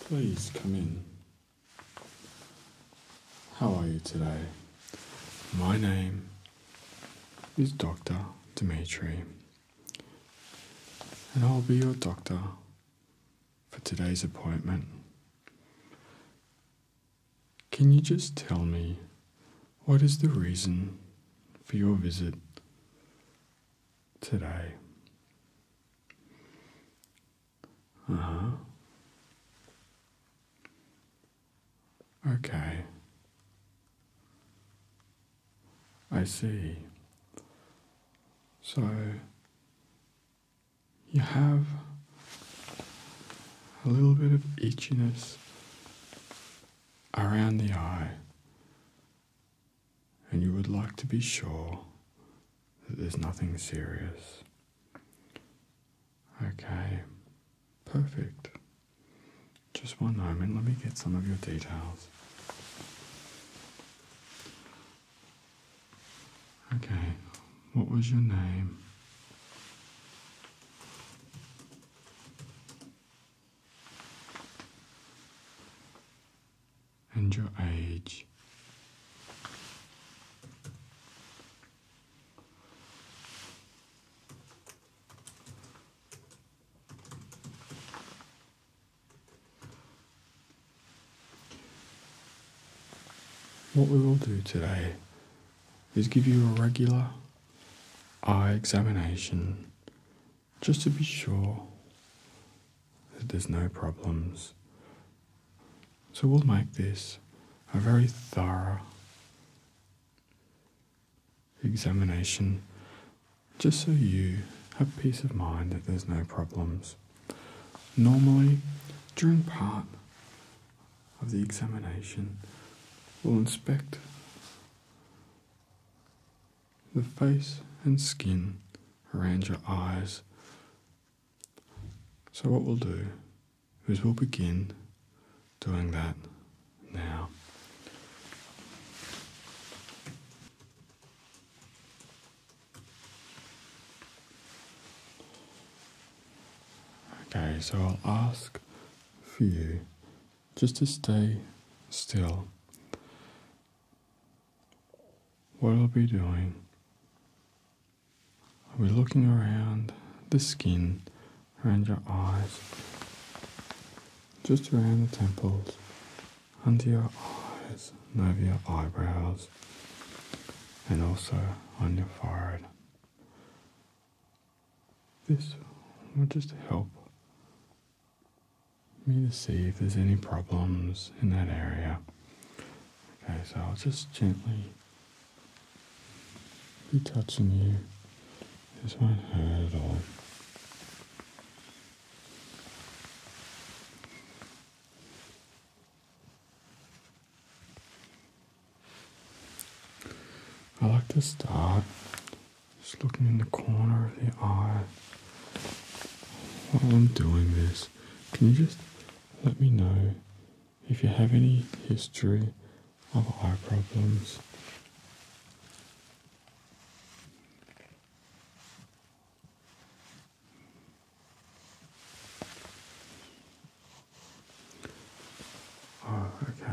Please come in. How are you today? My name is Dr. Dimitri, and I'll be your doctor for today's appointment. Can you just tell me what is the reason for your visit today? Uh huh. Okay. I see. So you have a little bit of itchiness around the eye and you would like to be sure that there's nothing serious. Okay, perfect. Just one moment, let me get some of your details. Okay, what was your name? and your age. What we will do today is give you a regular eye examination just to be sure there's no problems. So we'll make this a very thorough examination just so you have peace of mind that there's no problems. Normally, during part of the examination, we'll inspect the face and skin, around your eyes. So, what we'll do is we'll begin doing that now. Okay, so I'll ask for you just to stay still what I'll be doing, I'll be looking around the skin, around your eyes, just around the temples, under your eyes, over your eyebrows, and also on your forehead. This will just help me to see if there's any problems in that area. Okay, so I'll just gently be touching you. This won't hurt at all. I like to start just looking in the corner of the eye. While I'm doing this, can you just let me know if you have any history of eye problems? Oh, okay.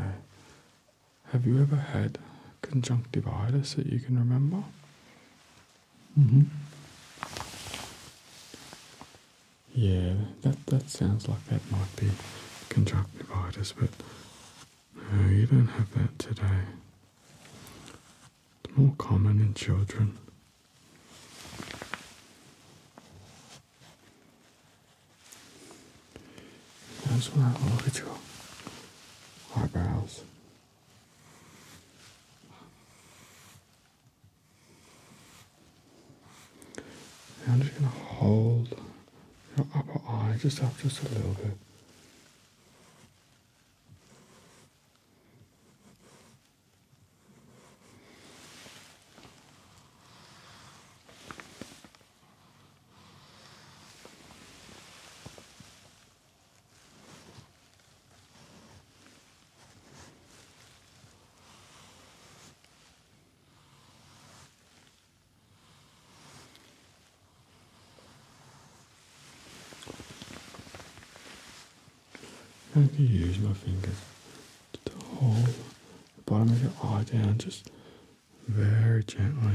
Have you ever had conjunctivitis that you can remember? Mm-hmm. Yeah, that that sounds like that might be conjunctivitis, but you don't have that today. It's more common in children. I just want look at your eyebrows. I'm just going to hold your upper eye just up just a little bit. I'm use my fingers to hold the bottom of your eye down just very gently.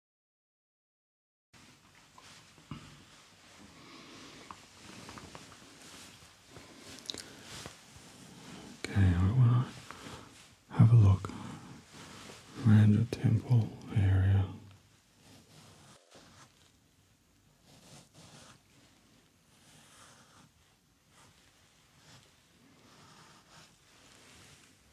Okay, I want to have a look around the temple area.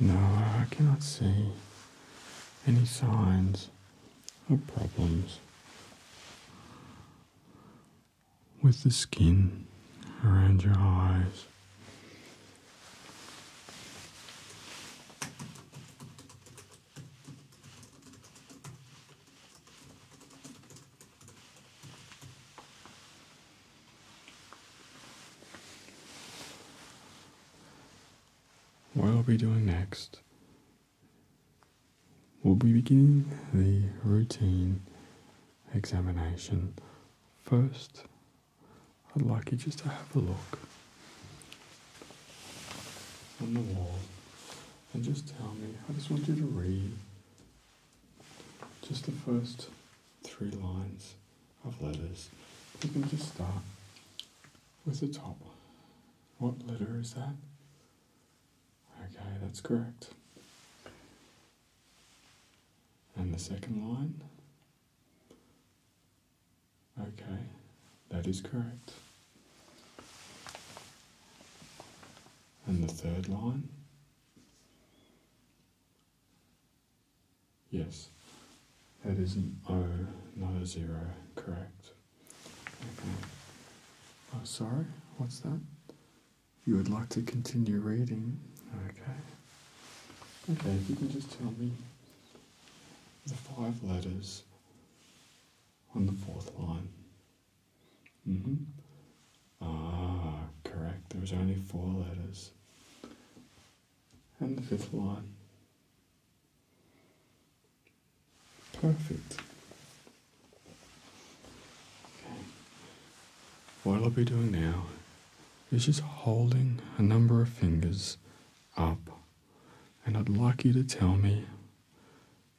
No, I cannot see any signs of problems with the skin around your eyes. What I'll be doing next we will be beginning the routine examination. First, I'd like you just to have a look on the wall and just tell me, I just want you to read just the first three lines of letters. You can just start with the top. What letter is that? Okay, that's correct. And the second line? Okay, that is correct. And the third line? Yes, that is an O, not a zero, correct. Okay. Oh, sorry, what's that? You would like to continue reading? Okay. Okay, if you can just tell me the five letters on the fourth line. hmm Ah, correct. There was only four letters. And the fifth one. Perfect. What I'll be doing now is just holding a number of fingers up, and I'd like you to tell me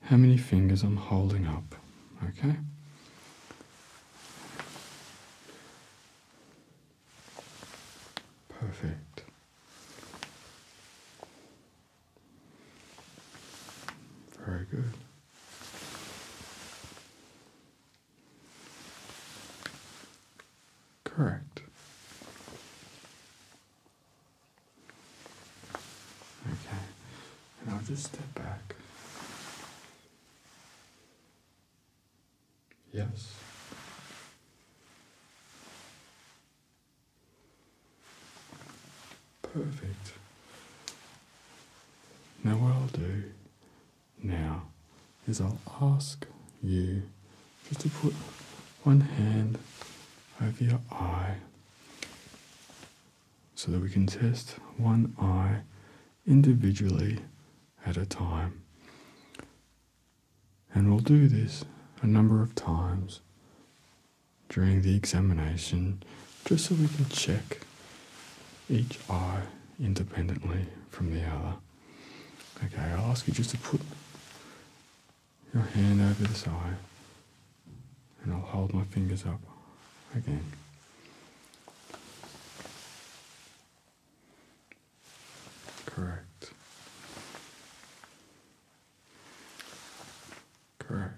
how many fingers I'm holding up, okay? Perfect. Very good. Correct. Okay, and I'll just step back. Yes. Perfect. Now, what I'll do now is I'll ask you just to put one hand over your eye so that we can test one eye individually at a time. And we'll do this a number of times during the examination just so we can check each eye independently from the other. Okay, I'll ask you just to put your hand over this eye and I'll hold my fingers up again. Correct. Correct.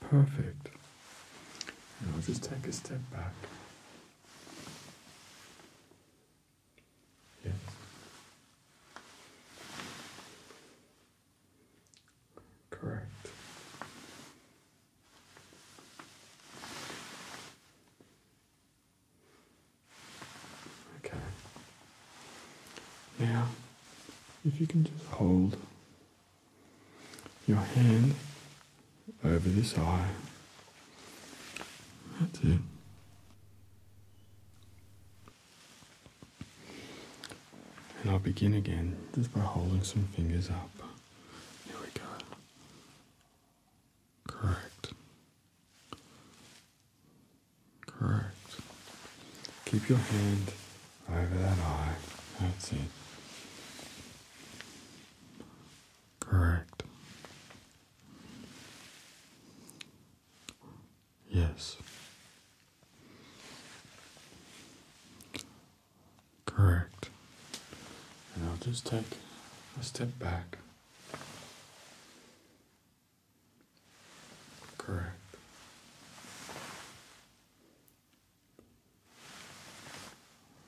Perfect. I'll just take a step back. Yes. Correct. Okay. Now, if you can just hold your hand over this eye, that's it. And I'll begin again just by holding some fingers up. Here we go. Correct. Correct. Keep your hand over that eye. That's it. Correct. Yes. Correct. And I'll just take a step back. Correct.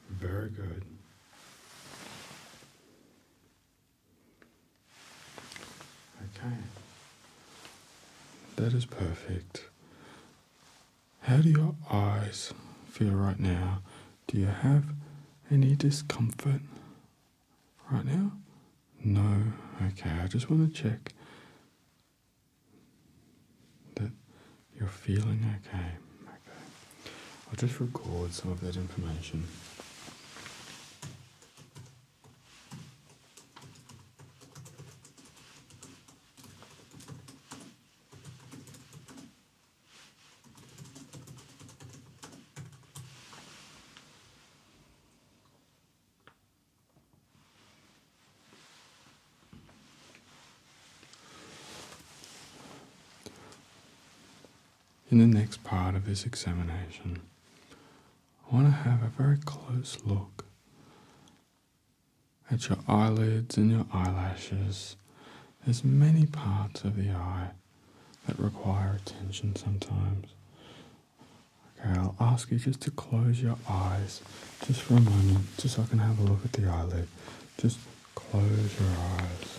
Very good. Okay. That is perfect. How do your eyes feel right now? Do you have any discomfort right now? No. Okay, I just want to check that you're feeling okay. Okay. I'll just record some of that information. In the next part of this examination, I want to have a very close look at your eyelids and your eyelashes. There's many parts of the eye that require attention sometimes. Okay, I'll ask you just to close your eyes just for a moment, just so I can have a look at the eyelid. Just close your eyes.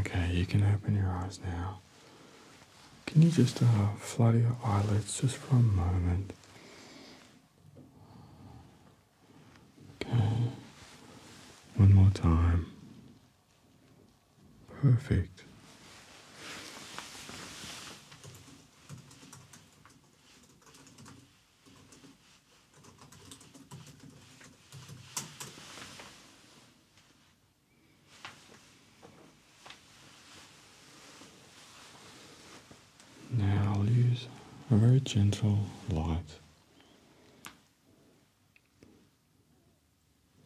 Okay, you can open your eyes now. Can you just uh, flutter your eyelids just for a moment? Okay. One more time. Perfect. Now I'll use a very gentle light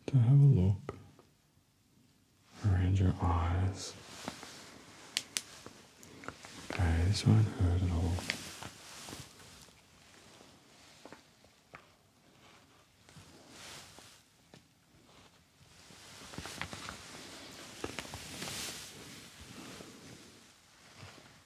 to have a look around your eyes. Okay, this won't hurt at all.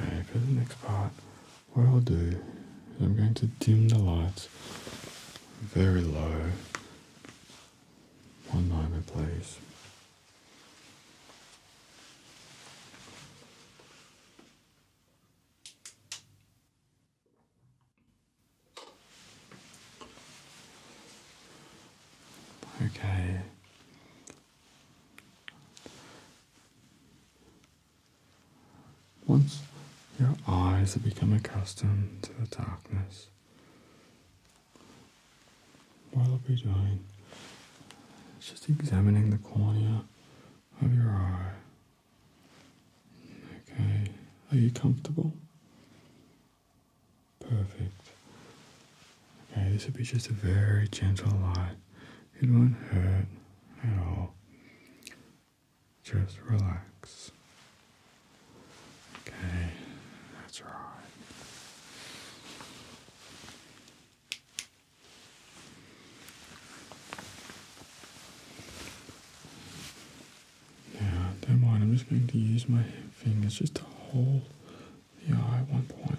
Okay, for the next part, what I'll do is I'm going to dim the lights very low. One in place. Okay, once your eyes have become accustomed to the darkness, what I'll be doing is just examining the cornea of your eye. Okay, are you comfortable? Perfect. Okay, this would be just a very gentle light. It won't hurt at all. Just relax. Okay, that's right. Yeah, don't mind, I'm just going to use my fingers just to hold yeah, at one point.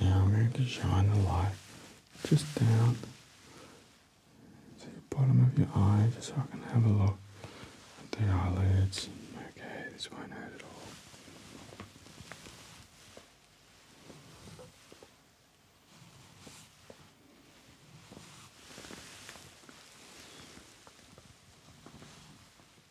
Now I'm going to shine the light just down to the bottom of your eye just so I can have a look at the eyelids. Okay, this won't hurt at all.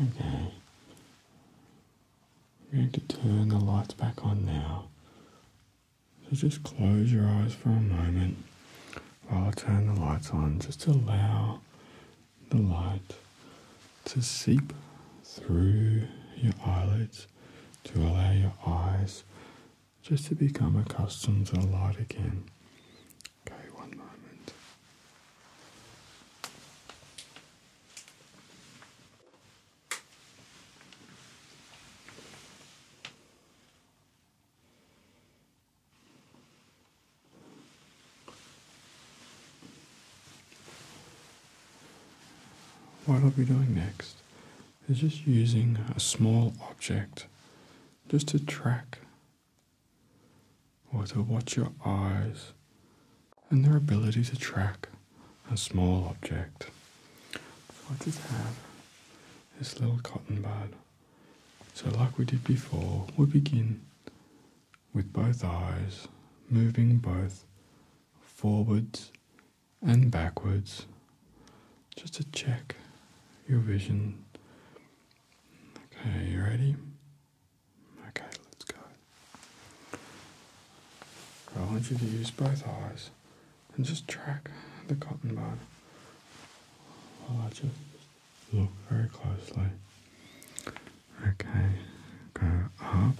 Okay. I'm going to turn the lights back on now so just close your eyes for a moment while I turn the lights on. Just allow the light to seep through your eyelids to allow your eyes just to become accustomed to the light again. Okay, one moment. What I'll be doing next is just using a small object just to track or to watch your eyes and their ability to track a small object. So I this little cotton bud. So like we did before, we begin with both eyes moving both forwards and backwards just to check your vision. Okay, you ready? Okay, let's go. I want you to use both eyes and just track the cotton bud. i just look very closely. Okay, go up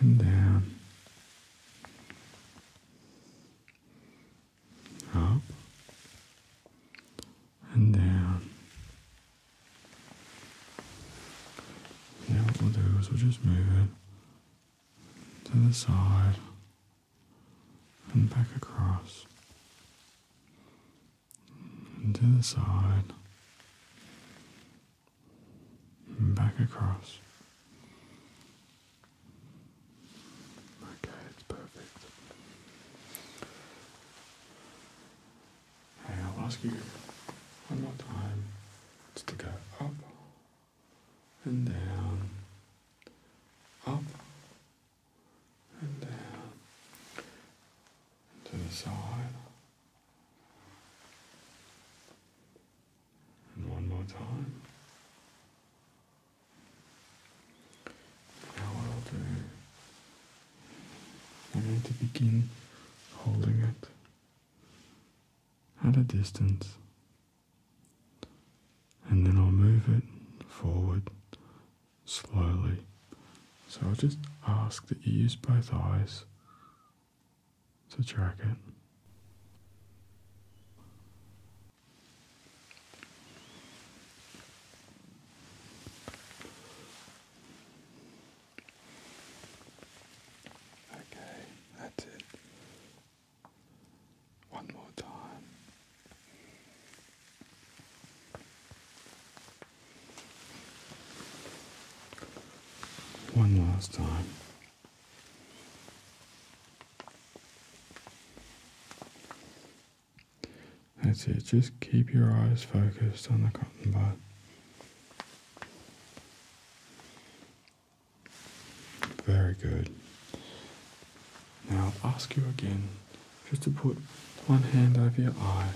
and down, up and down. Now what we'll do is we'll just move it to the side and back across to the side and back across. Okay, it's perfect. Hey, I'll ask you one more time. to go up and down, up and down, to the side, and one more time. Now what I'll do, I need to begin holding it at a distance and then I'll move it forward slowly. So I'll just ask that you use both eyes to track it. Okay, that's it. One more time. One last time. That's it, just keep your eyes focused on the cotton bud. Very good. Now I'll ask you again just to put one hand over your eye.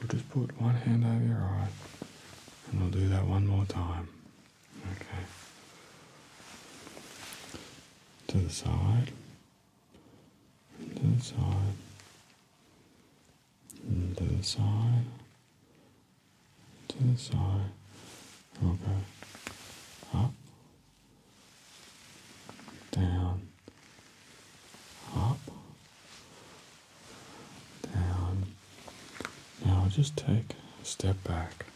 We'll just put one hand over your eye and we'll do that one more time. Okay. To the side. to the side. to the side to the side. We'll go up, down, up, down. Now I'll just take a step back.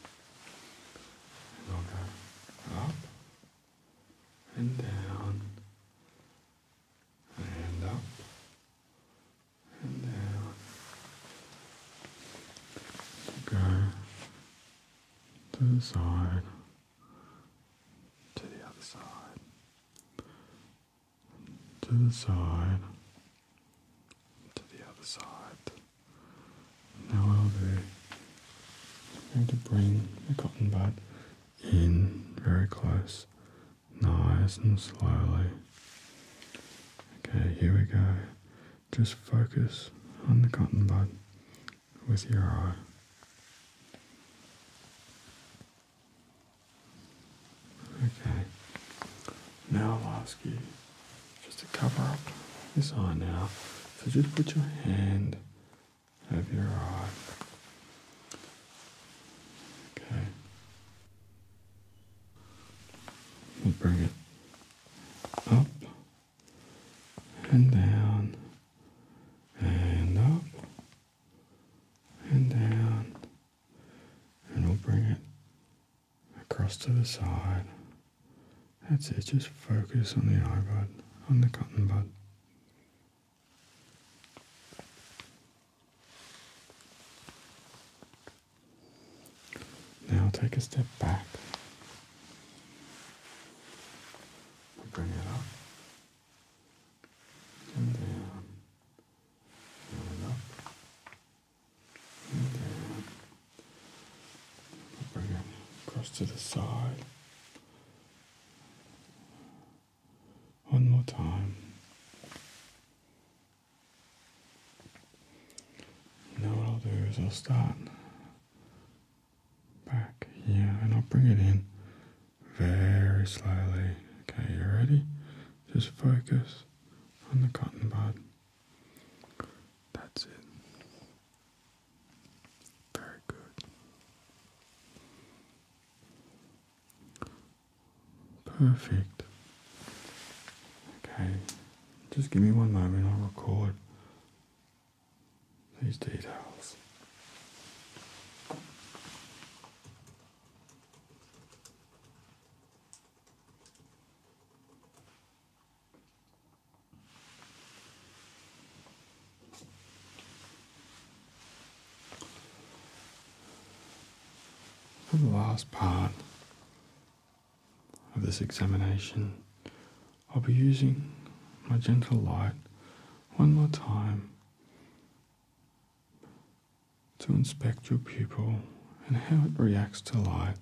And we'll go up and down and up and now go to the side, to the other side, to the side, to the other side. Now what i I'm going to bring the cotton bud in very close, nice and slowly. Okay, here we go. Just focus on the cotton bud with your eye. Okay, now I'll ask you just to cover up this eye now. So just put your hand over your eye. Okay. We'll bring it up and down and up and down, and we'll bring it across to the side. That's it, just focus on the eye bud, on the cotton bud. Now take a step back. Bring it up. And down. And up. And down. Bring it across to the side. One more time. Now what I'll do is I'll start back yeah, and I'll bring it in very slowly. Okay, you ready? Just focus on the cotton bud. That's it. Very good. Perfect. Okay, just give me one moment, I'll record these details. the last part, of this examination, I'll be using my gentle light one more time to inspect your pupil and how it reacts to light.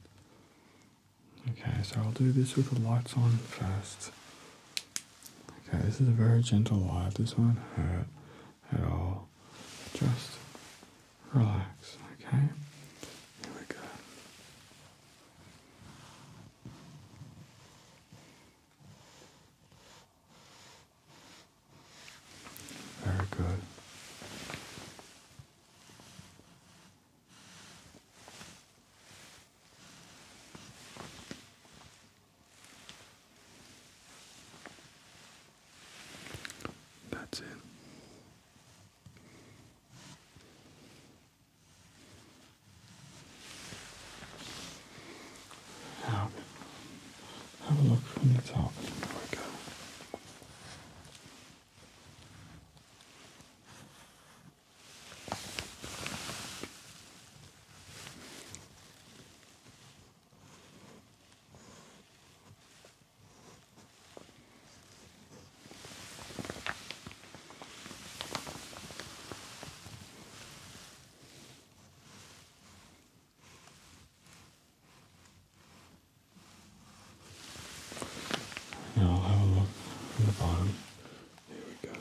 Okay, so I'll do this with the lights on first. Okay, this is a very gentle light, this won't hurt at all. Just relax, okay? Here we go. Very good. That's it. Now, have a look from the top. There we go. I'll have a look from the bottom. Here we go.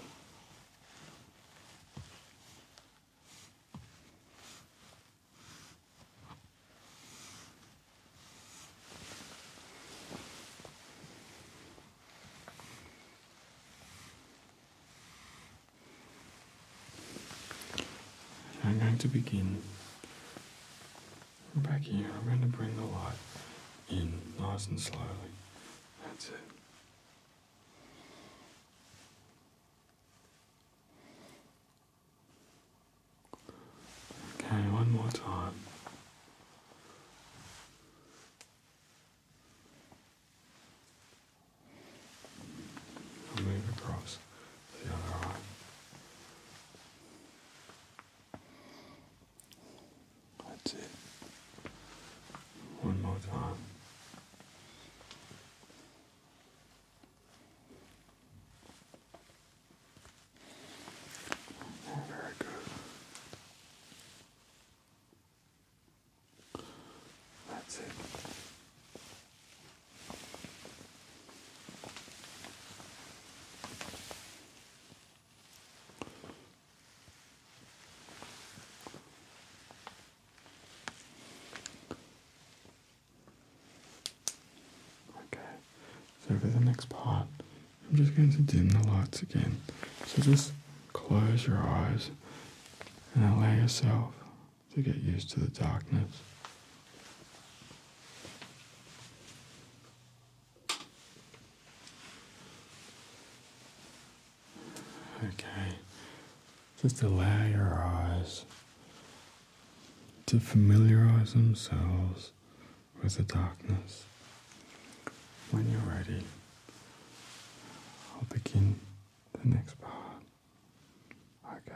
I'm going to begin back here. I'm going to bring the light in nice and slowly. That's it. Okay, one more time. move across the other eye. That's it. One more time. Very good. That's it. Okay, so for the next part, I'm just going to dim the lights again. So just close your eyes and allow yourself to get used to the darkness. Okay, just allow your eyes to familiarize themselves with the darkness. When you're ready, I'll begin the next part. Okay.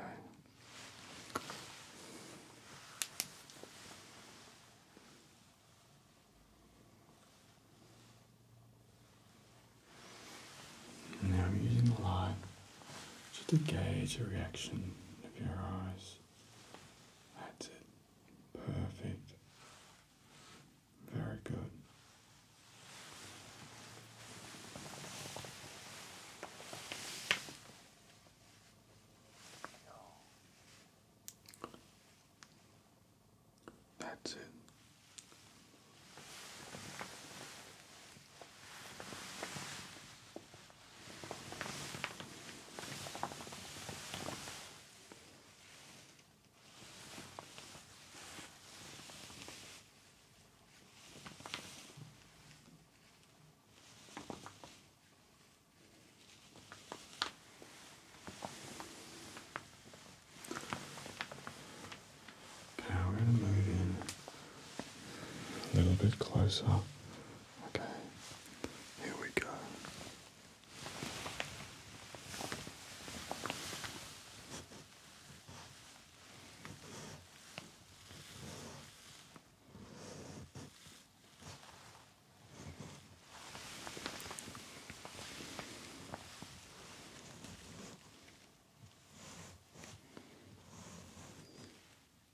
Now I'm using the light. Just to gauge the reaction of your eyes. That's it. Perfect. Very good. That's it. Okay, we're going to move in a little bit closer. Okay, here we go.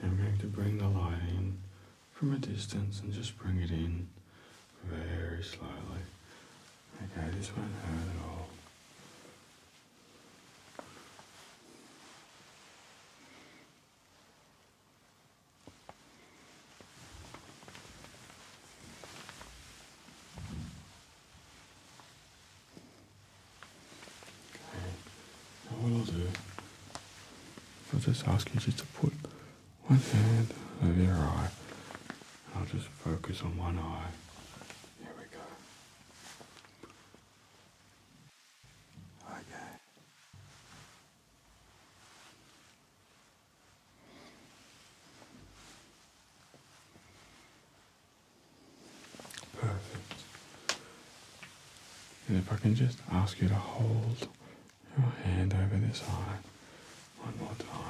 I'm going to bring the light in from a distance and just bring it in very slowly. Okay, this won't hurt at all. Okay. Now what i do, I'll just ask you to put one hand over your eye. I'll just focus on one eye. Here we go. Okay. Perfect. And if I can just ask you to hold your hand over this eye one more time.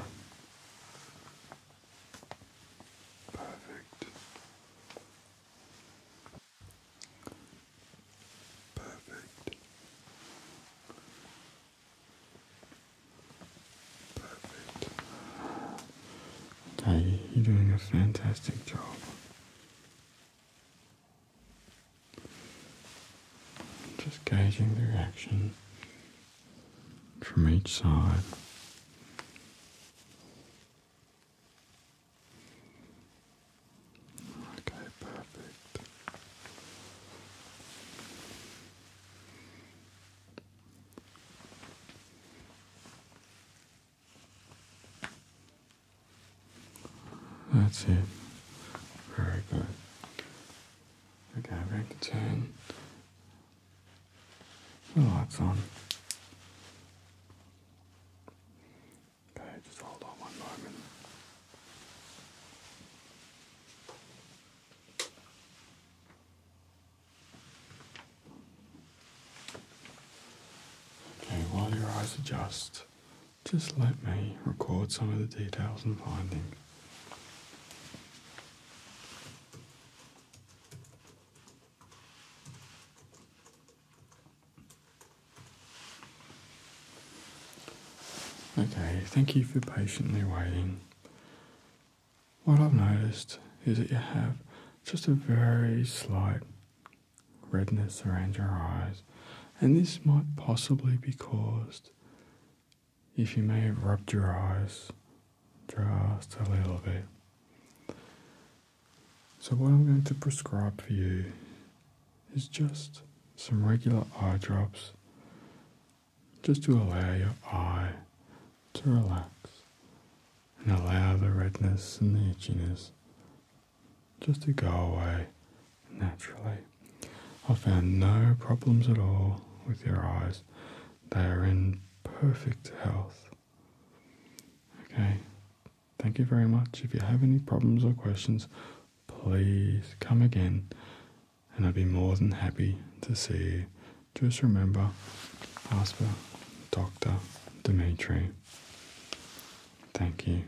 Perfect. Perfect. Perfect. Hey, you're doing a fantastic job. Just gauging the reaction from each side. Okay, perfect. That's it. Very good. Okay, i have to turn the lights on. Okay, just hold on one moment. Okay, while your eyes adjust, just let me record some of the details and findings. Okay, thank you for patiently waiting. What I've noticed is that you have just a very slight redness around your eyes, and this might possibly be caused if you may have rubbed your eyes, just a little bit. So what I'm going to prescribe for you is just some regular eye drops just to allow your eye to relax and allow the redness and the itchiness just to go away naturally. I found no problems at all with your eyes. They are in perfect health. Okay, thank you very much. If you have any problems or questions, please come again and I'd be more than happy to see you. Just remember, ask for Dr. Dimitri. Thank you.